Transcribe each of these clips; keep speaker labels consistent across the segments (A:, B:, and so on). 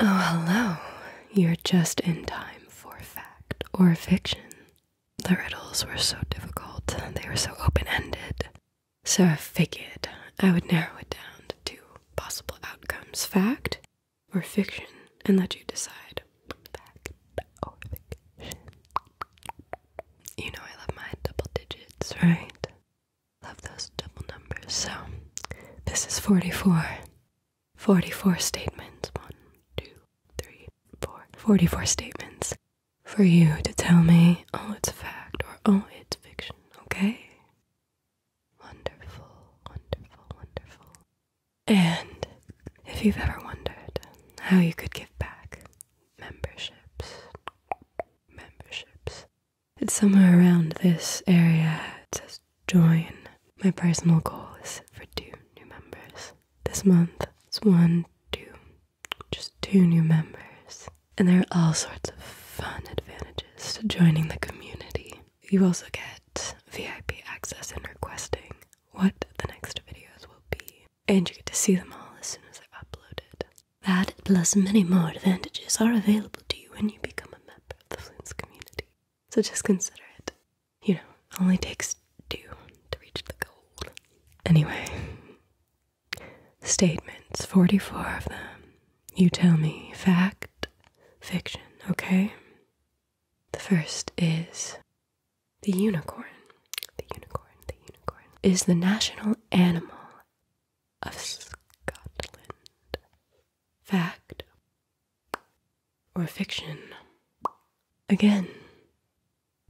A: Oh, hello. You're just in time for fact or fiction. The riddles were so difficult, they were so open ended. So I figured I would narrow it down to two possible outcomes fact or fiction and let you decide. Fact or fiction. You know I love my double digits, right? Love those double numbers. So this is 44. 44 statements. One, two, three, four. 44 statements for you to tell me, oh, it's fact or oh, it's fiction, okay? Wonderful, wonderful, wonderful. And if you've ever wondered how you could give back memberships, memberships, it's somewhere around this area. It says join. My personal goal is for two new members. This month, it's one, two, just two new members. And there are all sorts of fun advantages to joining the community. You also get VIP access in requesting what the next videos will be. And you get to see them all as soon as they're uploaded. That plus many more advantages are available to you when you become a member of the Flint's community. So just consider it. You know, only takes two to reach the goal. Anyway, statements, 44 of them. You tell me fact, fiction, okay? The first is the unicorn. The unicorn, the unicorn is the national animal of Scotland fact, or fiction. Again,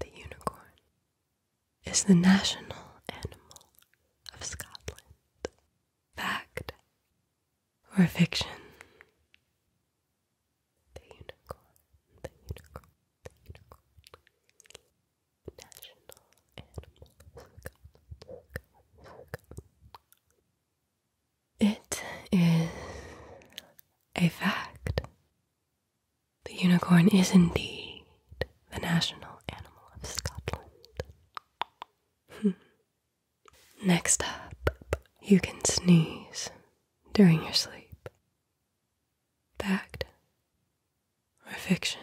A: the unicorn is the national animal of Scotland. Fact or fiction? The unicorn, the unicorn, the unicorn. National animal of Scotland. It is a fact. The unicorn is indeed the national animal of Scotland. Hmm. Next up, you can sneeze during your sleep. Fact or fiction?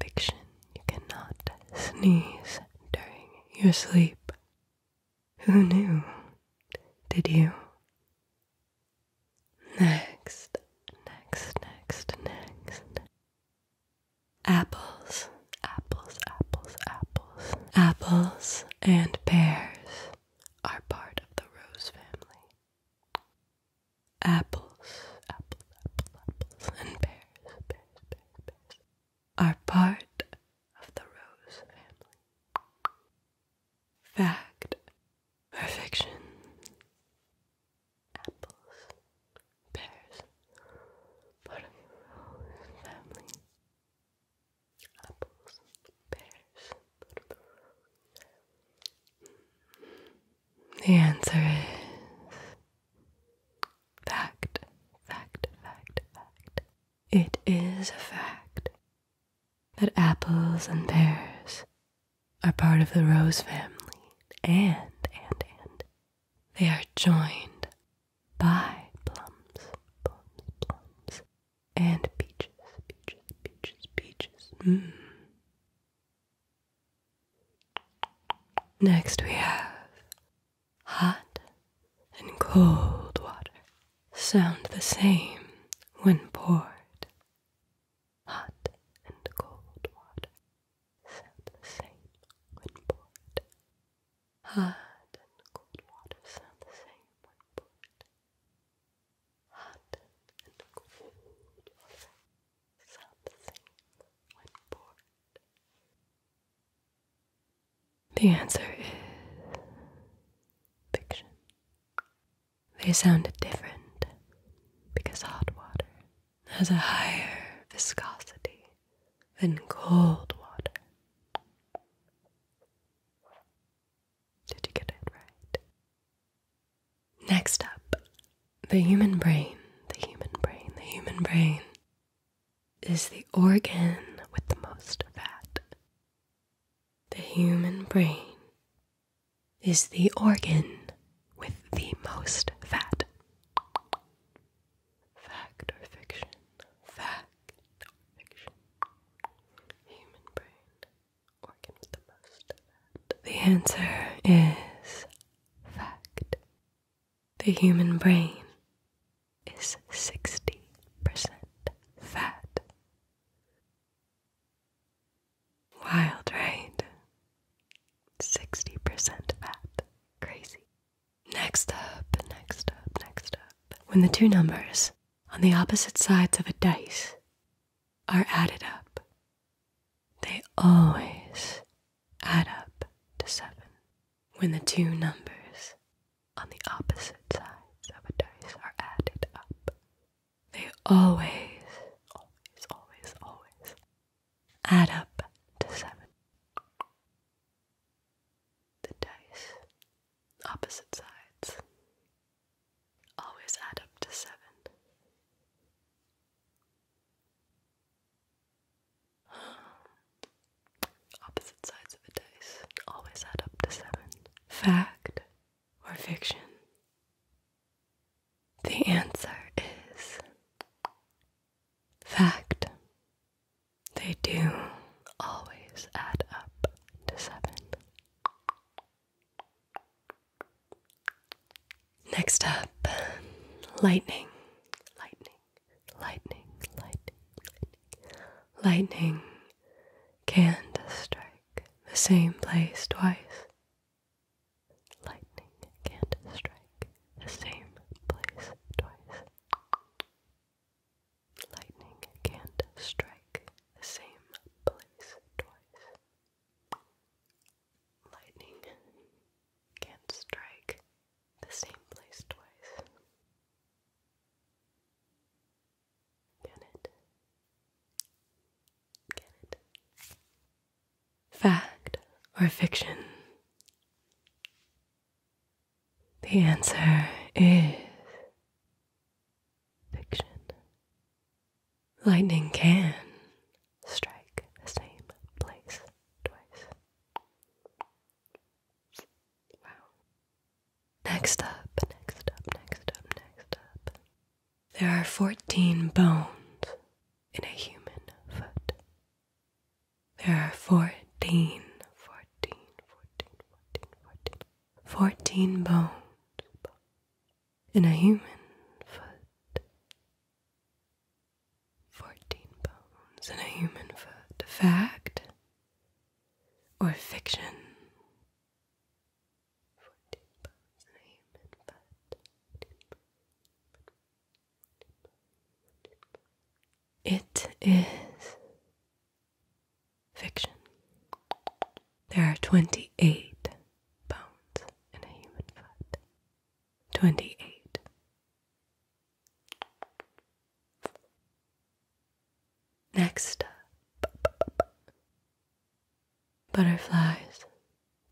A: Fiction, you cannot sneeze during your sleep. Who knew? Did you? Next, next, next, next. Apples, apples, apples, apples. Apples and pears are part of the rose family. Apples, apples, apples, apples, and pears, pears, pears, pears are part of the Rose family. Fact or fiction? Apples, pears, part of the Rose family. Apples, pears, part of the Rose family. The answer is Fact, fact, fact, fact. It is a fact that apples and pears are part of the rose family, and, and, and, they are joined by plums, plums, plums, and peaches, peaches, peaches, peaches. Mm. Next, we have hot and cold water sound the same when poured. Hot and cold water sound the same when poured. Hot and cold water sound the same when poured. Hot and cold water sound the same when poured. The answer is fiction. They sounded different because hot water has a higher viscosity than cold water. Did you get it right? Next up, the human brain, the human brain, the human brain is the organ with the most fat. The human brain is the organ with the most fat. Fact or fiction? Fact Human brain, organ with the most fat. The answer is fact. The human brain is 60% fat. Wild, right? 60% fat. Crazy. Next up, next up, next up. When the two numbers on the opposite sides of a dice are added up, they always add up to seven when the two numbers on the opposite sides of a dice are added up. They always, always, always, always add up to seven. The dice, opposite sides, always add up to seven. Opposite sides of a dice always add up to seven. Fact or fiction? The answer is fact. They do always add up to seven. Next up, lightning, lightning, lightning, lightning, lightning. Can't strike the same place twice. Lightning can't strike the same place twice. Lightning can't strike the same place twice. Lightning can't strike the same place twice. Can it? Can it? Fact or fiction? The answer is fiction. Lightning can strike the same place twice. Wow. Next up, next up, next up, next up. There are 14 bones in a human foot. There are 14, 14, 14, 14, 14 bones in a human foot. Fourteen bones in a human foot. Fact or fiction? Fourteen bones and a human foot. It is fiction. There are 28 bones in a human foot. 28 Next butterflies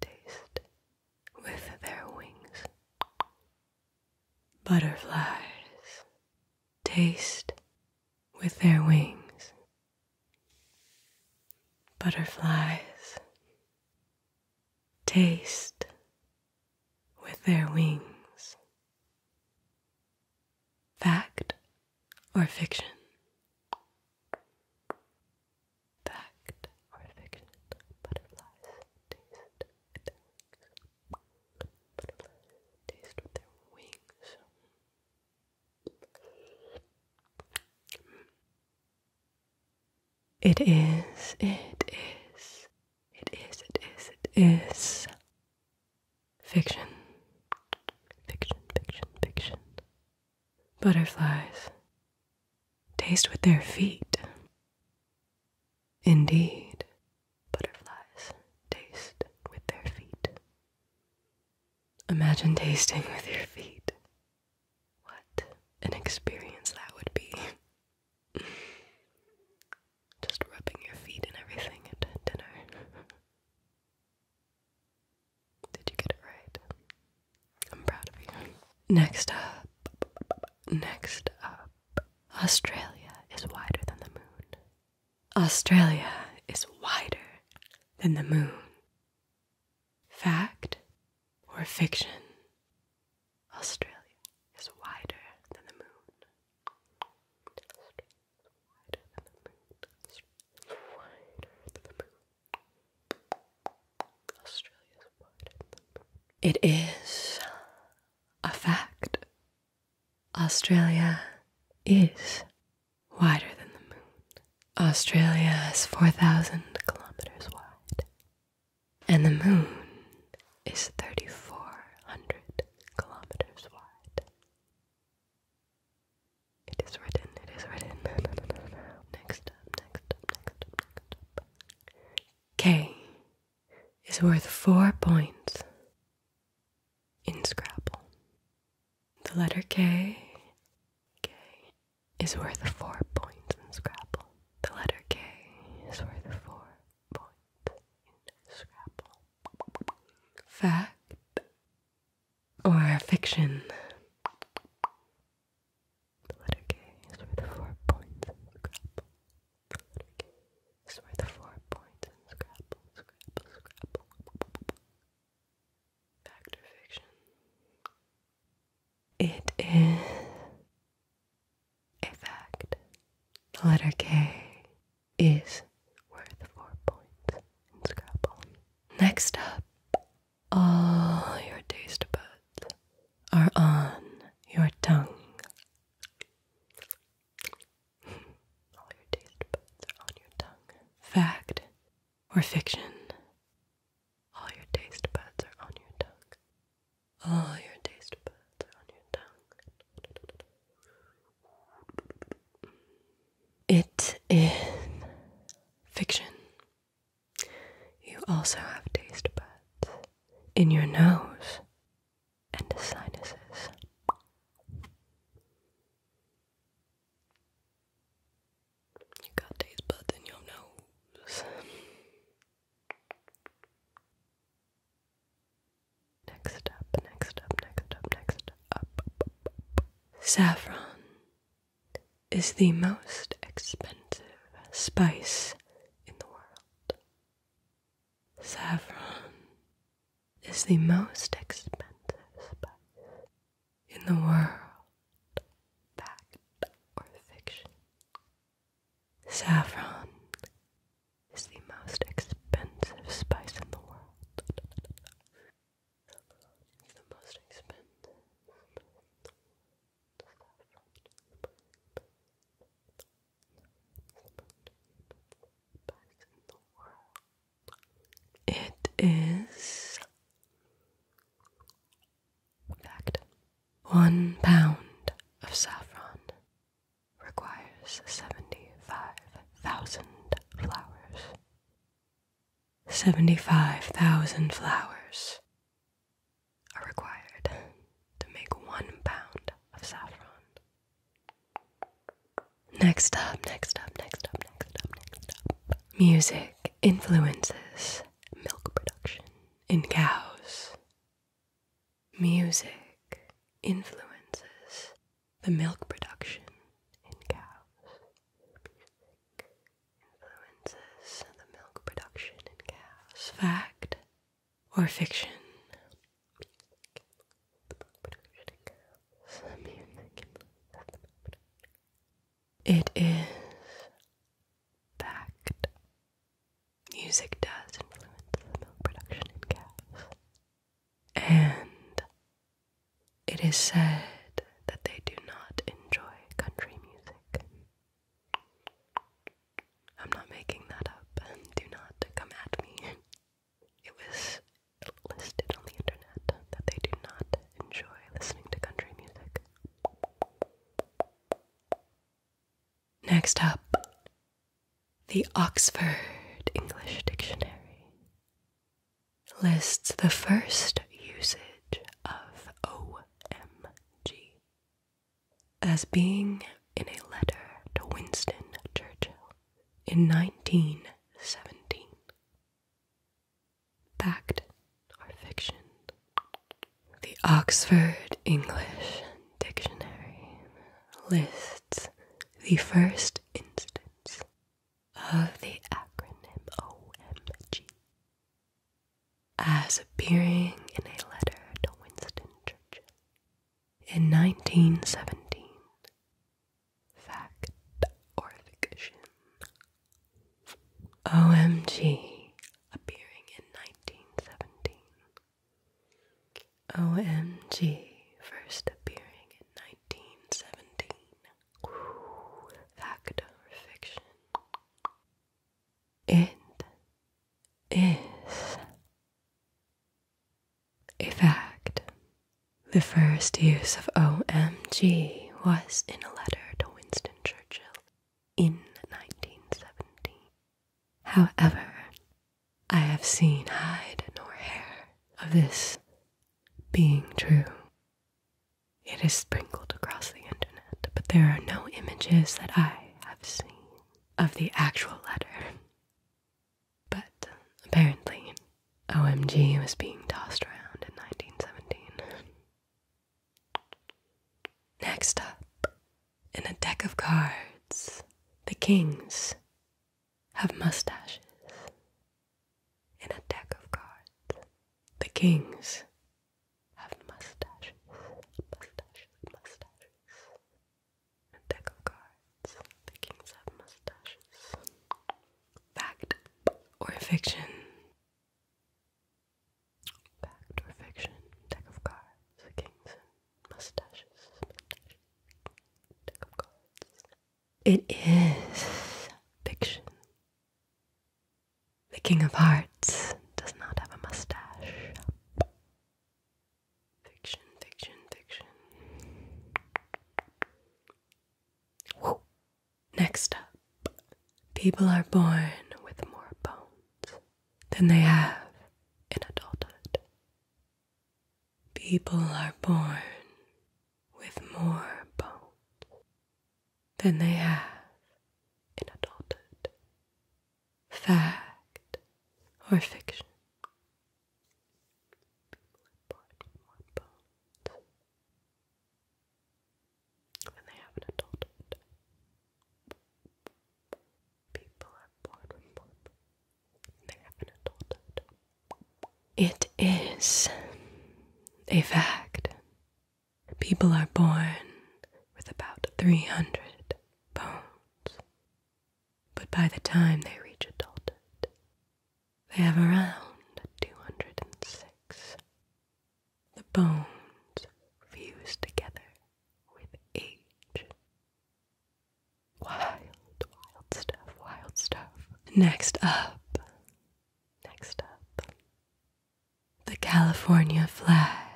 A: taste with their wings. Butterflies taste with their wings. Butterflies taste with their wings. Fact or fiction? Fact or fiction? Butterflies taste with their Butterflies taste with their wings. It is, it is, it is, it is, it is. Fiction. Fiction, fiction, fiction. Butterflies taste with their feet. Indeed, butterflies taste with their feet. Imagine tasting with your feet. What an experience that would be. Just rubbing your feet and everything at Did you get it right? I'm proud of you. Next up, next up, Australia is wider than the moon. Australia is wider than the moon. Fact or fiction? Australia is wider than the moon. Wider than the moon. Wider than the moon. Australia is wider It is a fact. Australia is wider than the moon. Australia is 4,000 kilometers wide and the moon is 3,400 kilometers wide. It is written, it is written. Next next next K is worth four points in Scrabble. The letter K, K, is worth four points in Scrabble. The letter K is worth four points in Scrabble. Fact or fiction? The letter K is worth four points in Scrabble. The letter K is worth four points in Scrabble. Scrabble, Scrabble. Fact or fiction? It is a fact. The letter K is worth four points in Scrabble. Next up, all your taste buds are on your tongue. all your taste buds are on your tongue. Fact or fiction? All your taste buds are on your tongue. All your taste buds are on your tongue. It is fiction. You also have taste buds in your nose and sinuses. You got taste buds in your nose. next up, next up, next up, next up. Saffron is the most expensive spice in the world. Saffron is the most expensive spice in the world fact, or fiction. Saffron is the most expensive spice in the world. It is Fact One pound of saffron requires 75,000 flowers. 75,000 flowers are required to make one pound of saffron. Next up, next up, next up, next up, next up. Music influences milk production in cows. Music influences the milk production in cows. Music influences the milk production in cows. Fact or fiction? It is Fact. Music does influence milk production in cows. And it is said that they do not enjoy country music. I'm not making that up, do not come at me. It was listed on the internet that they do not enjoy listening to country music. Next up, the Oxford English Dictionary lists the first usage of OMG as being in a letter to Winston Churchill in 1917 fact or fiction. The Oxford English Dictionary lists the first instance of the acronym OMG as appearing in a letter to Winston Churchill in 1917. Fact or fiction? OMG, appearing in 1917. OMG, first appearing in 1917. fact or fiction? It is a fact. The first use of OMG was in a letter to Winston Churchill in 1970. However, I have seen hide nor hair of this being true. It is sprinkled across the internet, but there are no images that I have seen of the actual letter. But apparently, OMG was being tossed around in 1917. Next up, in a deck of cards, the kings have mustaches. In a deck of cards, the kings have mustaches. Mustaches, mustaches. In a deck of cards, the kings have mustaches. Fact or fiction? Fact or fiction, deck of cards, mustaches, It is fiction. The King of Hearts does not have a mustache. Fiction, fiction, fiction. Next up, people are born with more bones than they have in adulthood. People are born with more bones than they have in adulthood. Fact or fiction? when they have an adulthood. People are bored They have an adulthood. It is a fact. People are born with about 300 bones, but by the time they reach adulthood, they have around 206. The bones fuse together with age. Wild, wild stuff, wild stuff. Next up, next up, the California flag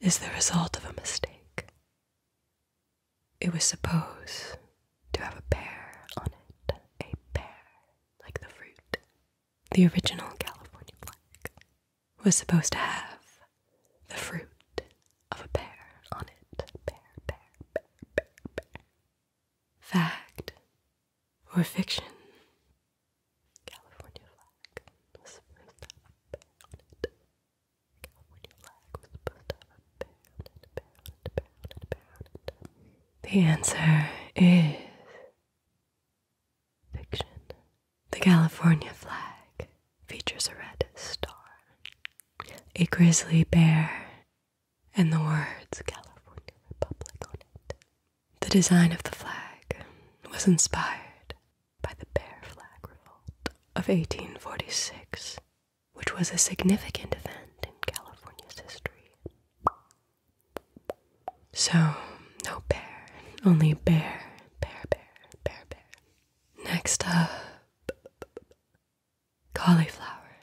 A: is the result of a mistake. It was supposed to have a pear on it, a pear, like the fruit the original California black was supposed to have the fruit of a pear on it. Pear, pear, pear, pear, pear. Fact or fiction? California flag was supposed to have a bear on it. California flag was supposed to have a bear on it, bear on it, bear on it, bear on it. The answer is the California flag features a red star, a grizzly bear, and the words California Republic on it. The design of the flag was inspired by the Bear Flag Revolt of 1846, which was a significant event in California's history. So, no bear, only bear, bear, bear, bear, bear. Next up, cauliflower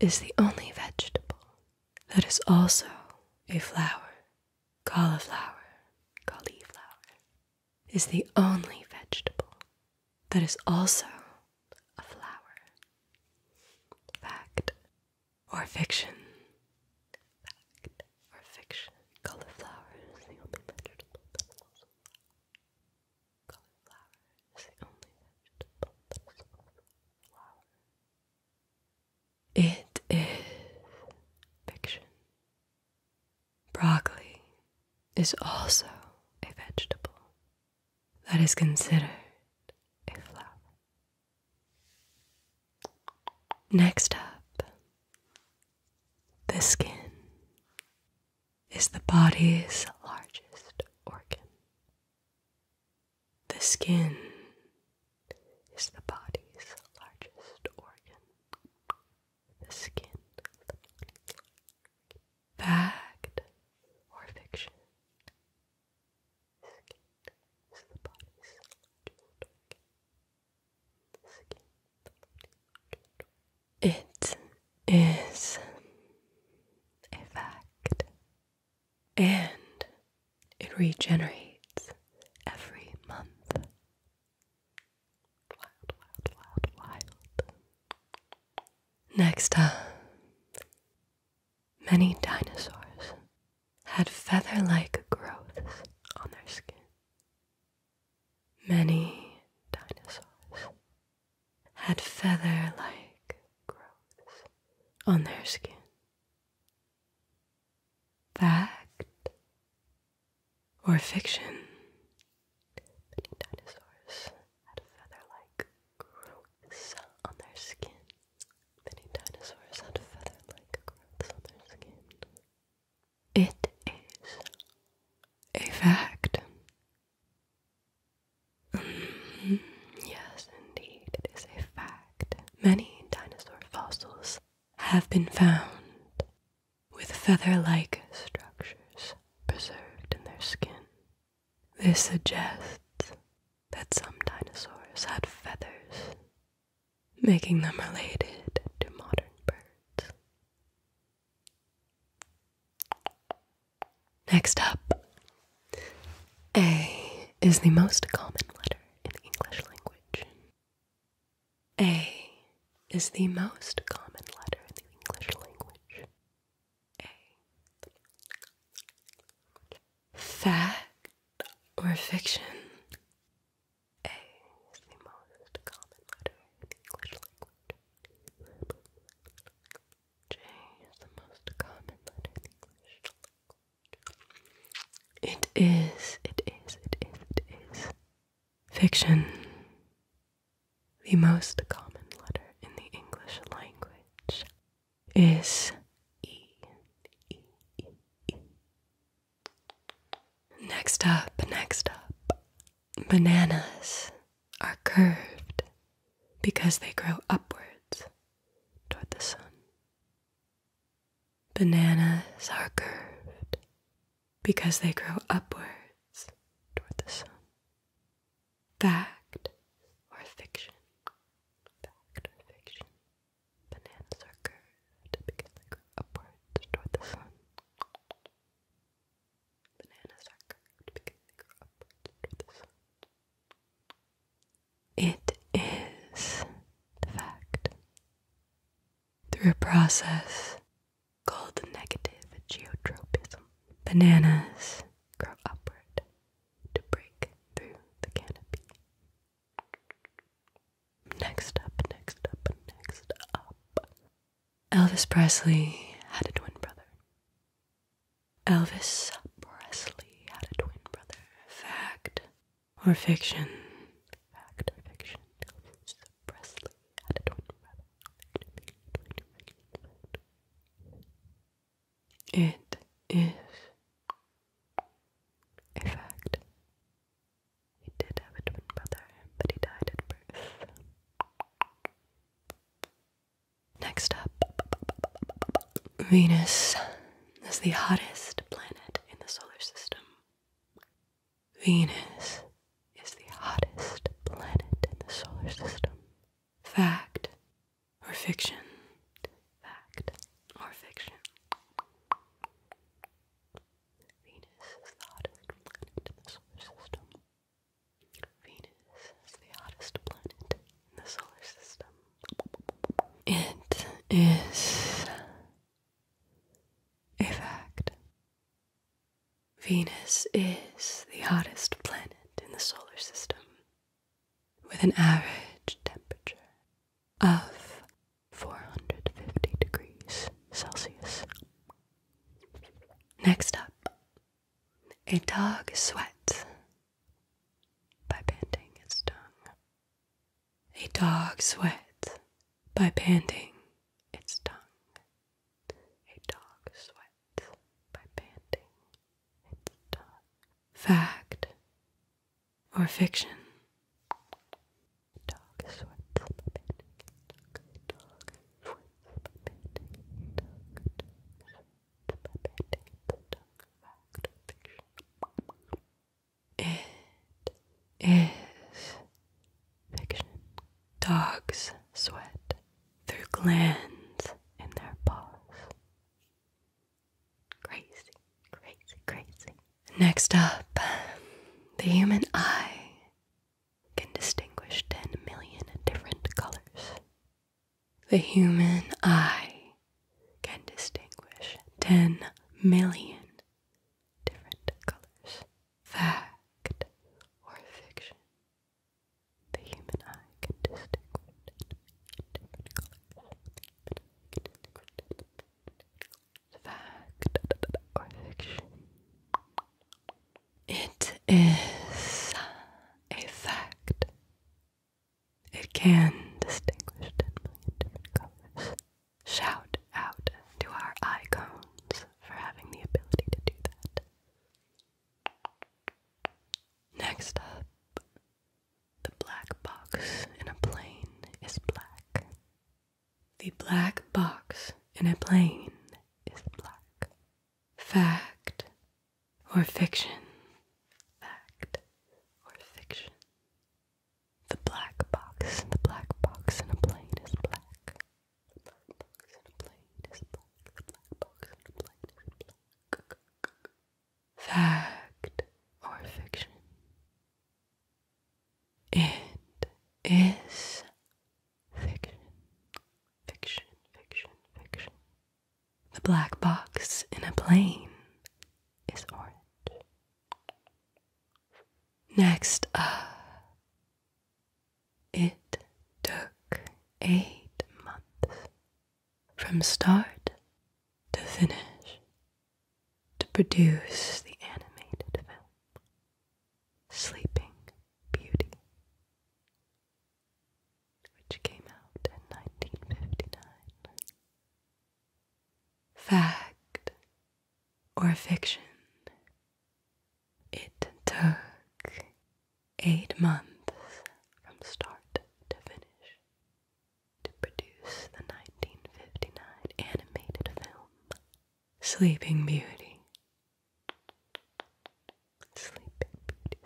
A: is the only vegetable that is also a flower. Cauliflower, cauliflower is the only vegetable that is also a flower. Fact or fiction. Fact or fiction. Cauliflower is the only vegetable that is Cauliflower is the only vegetable It is fiction. Broccoli is also a vegetable that is considered a flower. Next up, the skin is the body's largest organ. The skin is the body's largest organ. The skin. Fact or fiction? It is a fact. And it regenerates every month. Wild, wild, wild, wild. Next up, Many dinosaurs had feather like growths on their skin. Many dinosaurs had feather like growths on their skin. Fact or fiction? Many dinosaurs had feather-like growths on their skin. It is a fact. Mm-hmm. yes, indeed, it is a fact. Many dinosaur fossils have been found with feather like structures preserved in their skin. This suggests that some dinosaurs had feathers, making them related to modern birds. Next up, A is the most common letter in the English language. A is the most common letter in the English language. Fact or fiction? A is the most common letter in the English language. J is the most common letter in English It is, it is, it is, it is. Fiction. The most common letter in the English language is E. Next up, next up, bananas are curved because they grow upwards toward the sun. Bananas are curved because they grow upwards toward the sun. Fact or fiction? Fact or fiction? Bananas are curved because they grow upwards toward the sun. Bananas are curved because they grow upwards toward the sun. It is the fact. Through a process called negative geotropism, bananas grow upward to break through the canopy. Next up, next up, next up. Elvis Presley had a twin brother. Elvis Presley had a twin brother. Fact or fiction? Fact or fiction? Presley had a twin brother. It is a fact. He did have a twin brother, but he died at birth. Next up, Venus is the hottest planet in the solar system. Venus is the hottest planet in the solar system. Fact or fiction? Fact or fiction? Venus is the hottest planet in the solar system. Venus is the hottest planet in the solar system. It is a fact. Venus is the hottest planet in the solar system with an average temperature of 450 degrees Celsius. Next up, A Dog Sweats by Panting Its Tongue. A dog sweats by panting its tongue. A dog sweats by panting. It's done. Fact or fiction? Dog sweats by panting. panting. Dog, dog sweats by panting. It is fiction. Dogs sweat through glands in their paws. Crazy, crazy, crazy. Next up, the human eye can distinguish 10 million different colors. The human eye can distinguish 10 million different colors. Fact or fiction? The human eye can distinguish different colors. Fact or fiction? It is a fact. It can distinguish ten million different colors. Shout out to our icons for having the ability to do that. Next up, the black box in a plane is black. The black box in a plane is black. Fact or fiction? Fact or fiction? The black box, the black box in a plane is black. The black box in a plane is black. The black box in a plane is black fact or fiction. It is fiction, fiction, fiction, fiction. The black box in a plane is orange. Next up, it took eight months from start to finish to produce the animated film Sleeping Beauty, which came out in 1959. Fact or fiction, it took eight months from start to finish to produce the 1959 animated film Sleeping Beauty. Sleeping Beauty.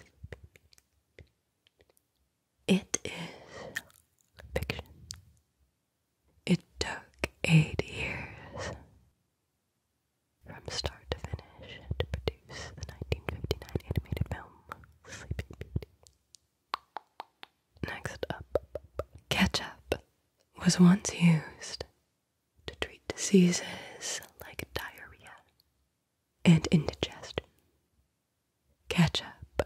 A: It is fiction. It took eight years from start to finish to produce the 1959 animated film Sleeping Beauty. Next up, ketchup was once used to treat diseases like diarrhea and indigestion. Ketchup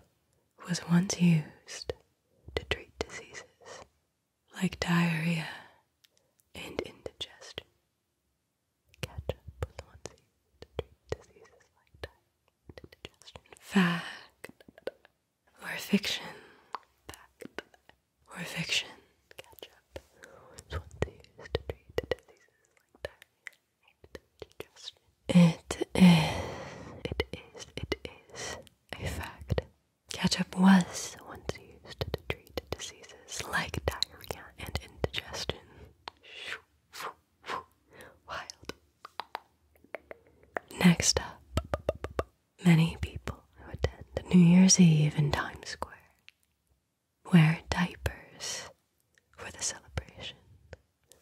A: was once used to treat diseases like diarrhea and indigestion. Ketchup was Fact or fiction? Fact or fiction? Ketchup was once used to treat diseases like diarrhea and indigestion. It is. It is. It is a fact. Ketchup was once used to treat diseases like diarrhea and indigestion. Wild. Next up, many people who attend New Year's Eve in Times Square wear diapers for the celebration.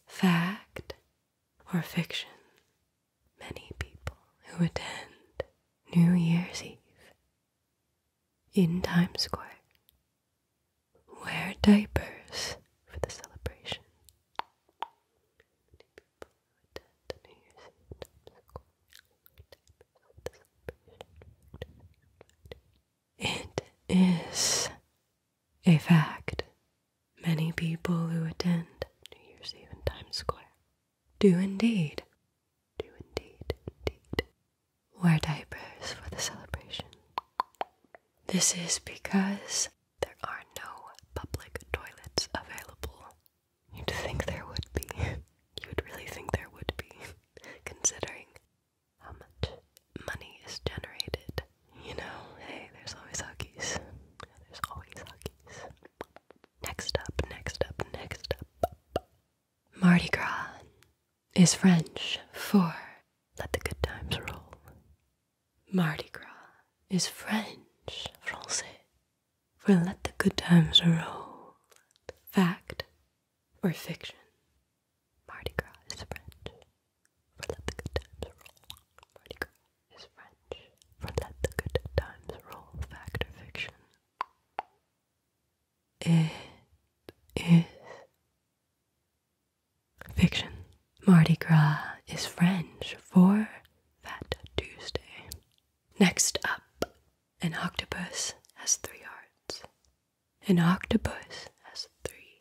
A: Fact or fiction? Many people who attend New Year's Eve in Times Square. Wear diapers for the celebration. It is a fact. Many people who attend New Year's Eve in Times Square do indeed do indeed, indeed. Wear diapers for the celebration. This is because there are no public toilets available. You'd think there would be. You'd really think there would be, considering how much money is generated. You know, hey, there's always huggies. There's always huggies. Next up, next up, next up. Mardi Gras is French for let the good times roll. Mardi Gras is French, Francais, for let the good times roll. Fact or fiction? Mardi Gras is French for let the good times roll. Mardi Gras is French for let the good times roll. Fact or fiction? It is fiction. Mardi Gras is French for Fat Tuesday. Next up, an octopus has three hearts. An octopus has three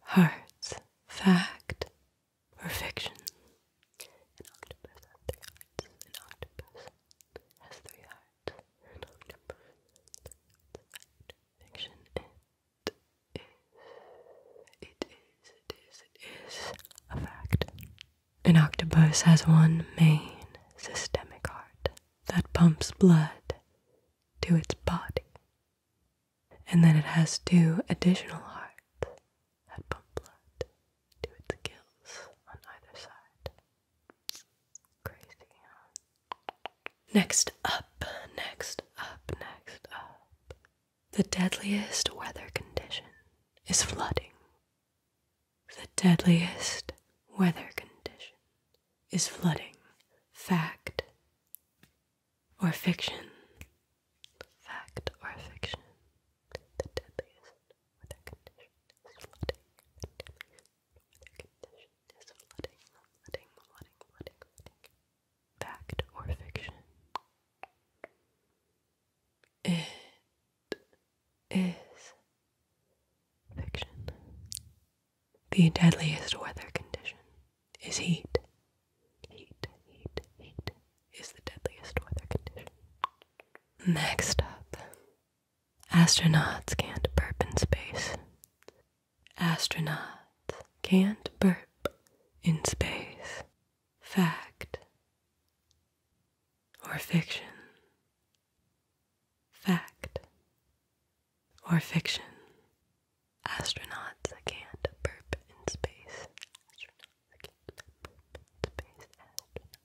A: hearts. Fact or fiction? An octopus has three hearts. An octopus has three hearts. It is. It is. It is a fact. An octopus has one main systemic heart that pumps blood to its body, and then it has two additional hearts that pump blood to its gills on either side. Next up, next up, next up. The deadliest weather condition is flooding. The deadliest weather condition is flooding. Fact or fiction? Fact or fiction? The deadliest weather condition is flooding. Condition is flooding, flooding, flooding, flooding, flooding. Fact or fiction? It is fiction. The deadliest weather condition is heat. Heat, heat, heat is the deadliest weather condition. Next up, Astronauts can't burp in space. Astronauts can't burp in space. Fact or fiction? Fact or fiction? Astronauts can't burp in space.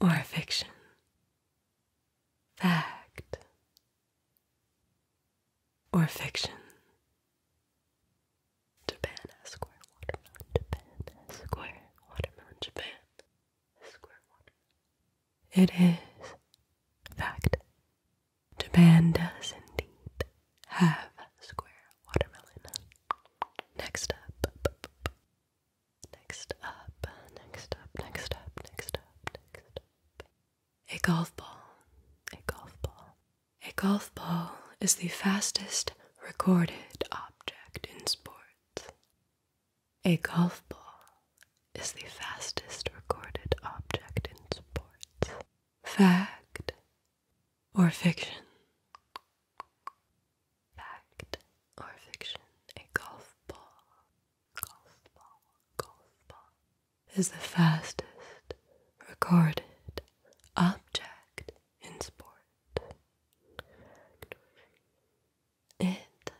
A: or fiction, fact or fiction. Japan has square watermelon, Japan has square watermelon, Japan has square watermelon. It is fact. Japan does indeed have square watermelon. Next up. Next up. Next up. Next up. Next up. Next up. A golf ball. A golf ball. A golf ball is the fastest recorded object in sports. A golf ball is the fastest recorded object in sports. Fact or fiction? Fact or fiction? A golf ball, golf ball, golf ball is the fastest recorded object in sport. It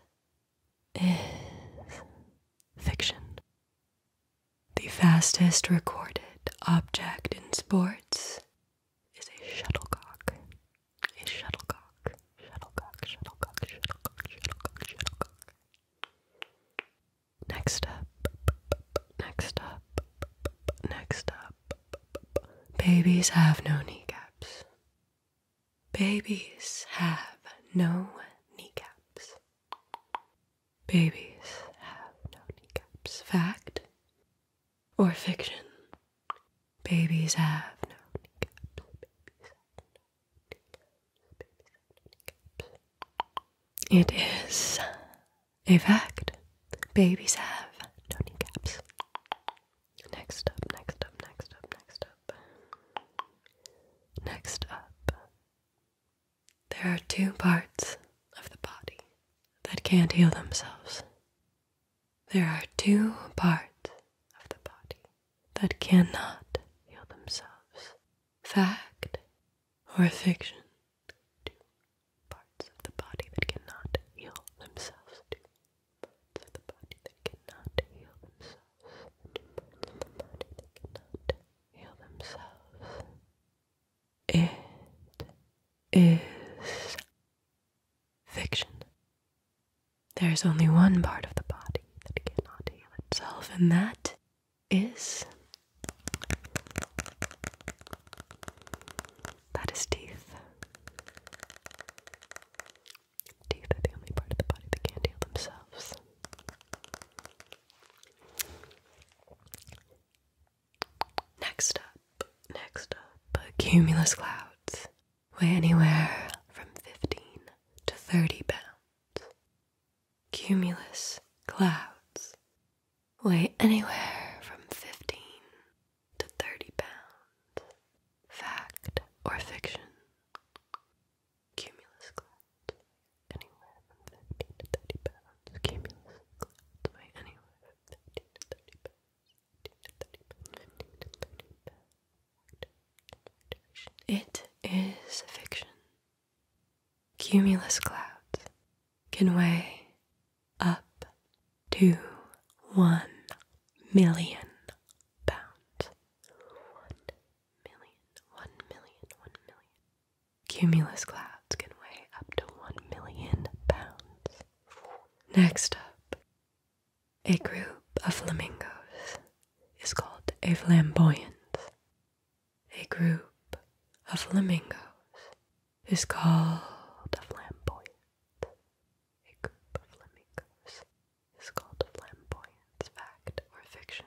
A: is fiction. The fastest recorded object in sports is a shuttlecock. A shuttlecock. Shuttlecock, shuttlecock, shuttlecock, shuttlecock, shuttlecock. Next up, next up, next up. Babies have no kneecaps. Babies have no kneecaps. Babies have no kneecaps. Fact or fiction. Babies have no kneecaps. It is a fact. Babies have no kneecaps. Next up, next up, next up, next up. Next up. There are two parts of the body that can't heal themselves there are two parts of the body that cannot heal themselves fact or fiction. Two parts of the body that cannot heal themselves. Two parts of the body that cannot heal themselves. Two parts of the body that cannot heal themselves. It is fiction. There is only one part of the body that cannot heal itself, and that is. That is teeth. Teeth are the only part of the body that can't heal themselves. Next up, next up, cumulus clouds weigh anywhere from 15 to 30 pounds. Cumulus clouds weigh anywhere from 15 to 30 pounds. Fact or fiction? Cumulus cloud anywhere from 15 to 30 pounds. Cumulus clouds weigh anywhere from 15 to 30 pounds. It is fiction. Cumulus clouds can weigh up to one million pounds. One million, one million, one million. Cumulus clouds can weigh up to one million pounds. Next up, a group of flamingos is called a flamboyant. A group of flamingos is called a flamboyant. A group of flamingos is called a flamboyant. Fact or fiction?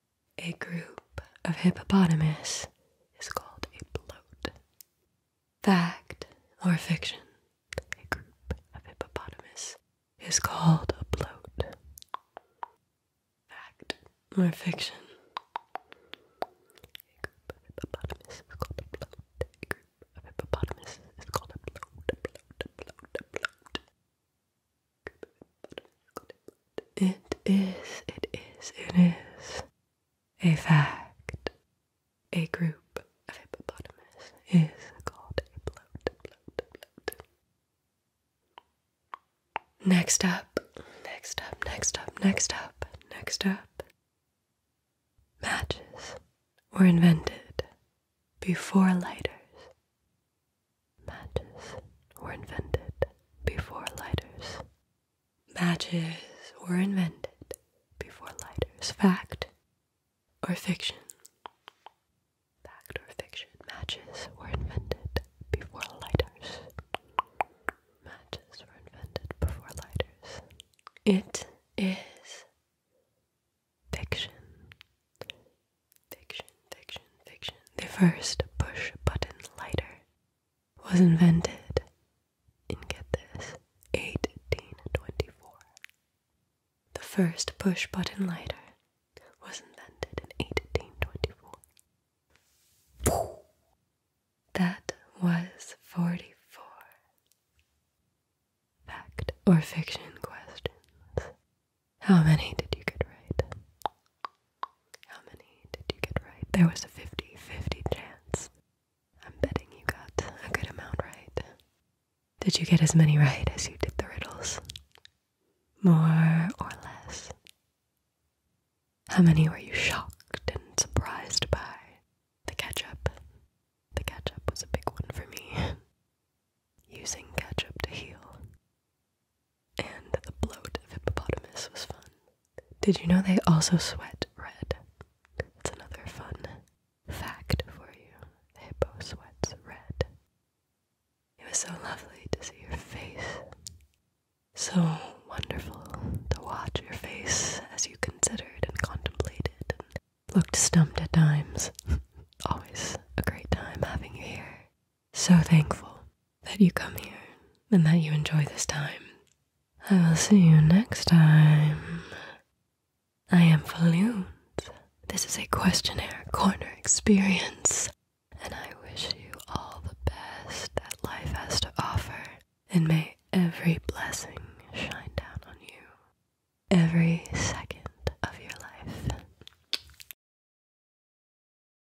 A: A group of hippopotamus is called a bloat. Fact or fiction, a group of hippopotamus is called a bloat. Fact or fiction, a group of hippopotamus is called a bloat. A group of hippopotamus is called a bloat, hippopotamus is called a bloat it is, it is, it is a fact. A group of hippopotamuses is called a bloat, bloat, bloat. Next up, next up, next up, next up, next up. Matches were invented before lighters. Matches were invented before lighters. Matches were invented before lighters. Fact or fiction? Fact or fiction? Matches were invented before lighters. Matches were invented before lighters. It is fiction. Fiction, fiction, fiction. The first push button lighter was invented in get this 1824. The first push button lighter was invented in 1824. That was 44 fact or fiction questions. How many did you get right? How many did you get right? There was a 50 50 chance. I'm betting you got a good amount right. Did you get as many right as you did the riddles? More or less? How many were you shocked and surprised by? The ketchup. The ketchup was a big one for me. Using ketchup to heal. And the bloat of hippopotamus was fun. Did you know they also sweat red? That's another fun fact for you. hippo sweats red. It was so lovely to see your face. So wonderful to watch your face as you considered and contemplated looked stumped at times. Always a great time having you here so thankful that you come here and that you enjoy this time. I will see you next time. I am Falloon. This is a questionnaire corner experience, and I wish you all the best that life has to offer, and may every blessing shine down on you every second of your life.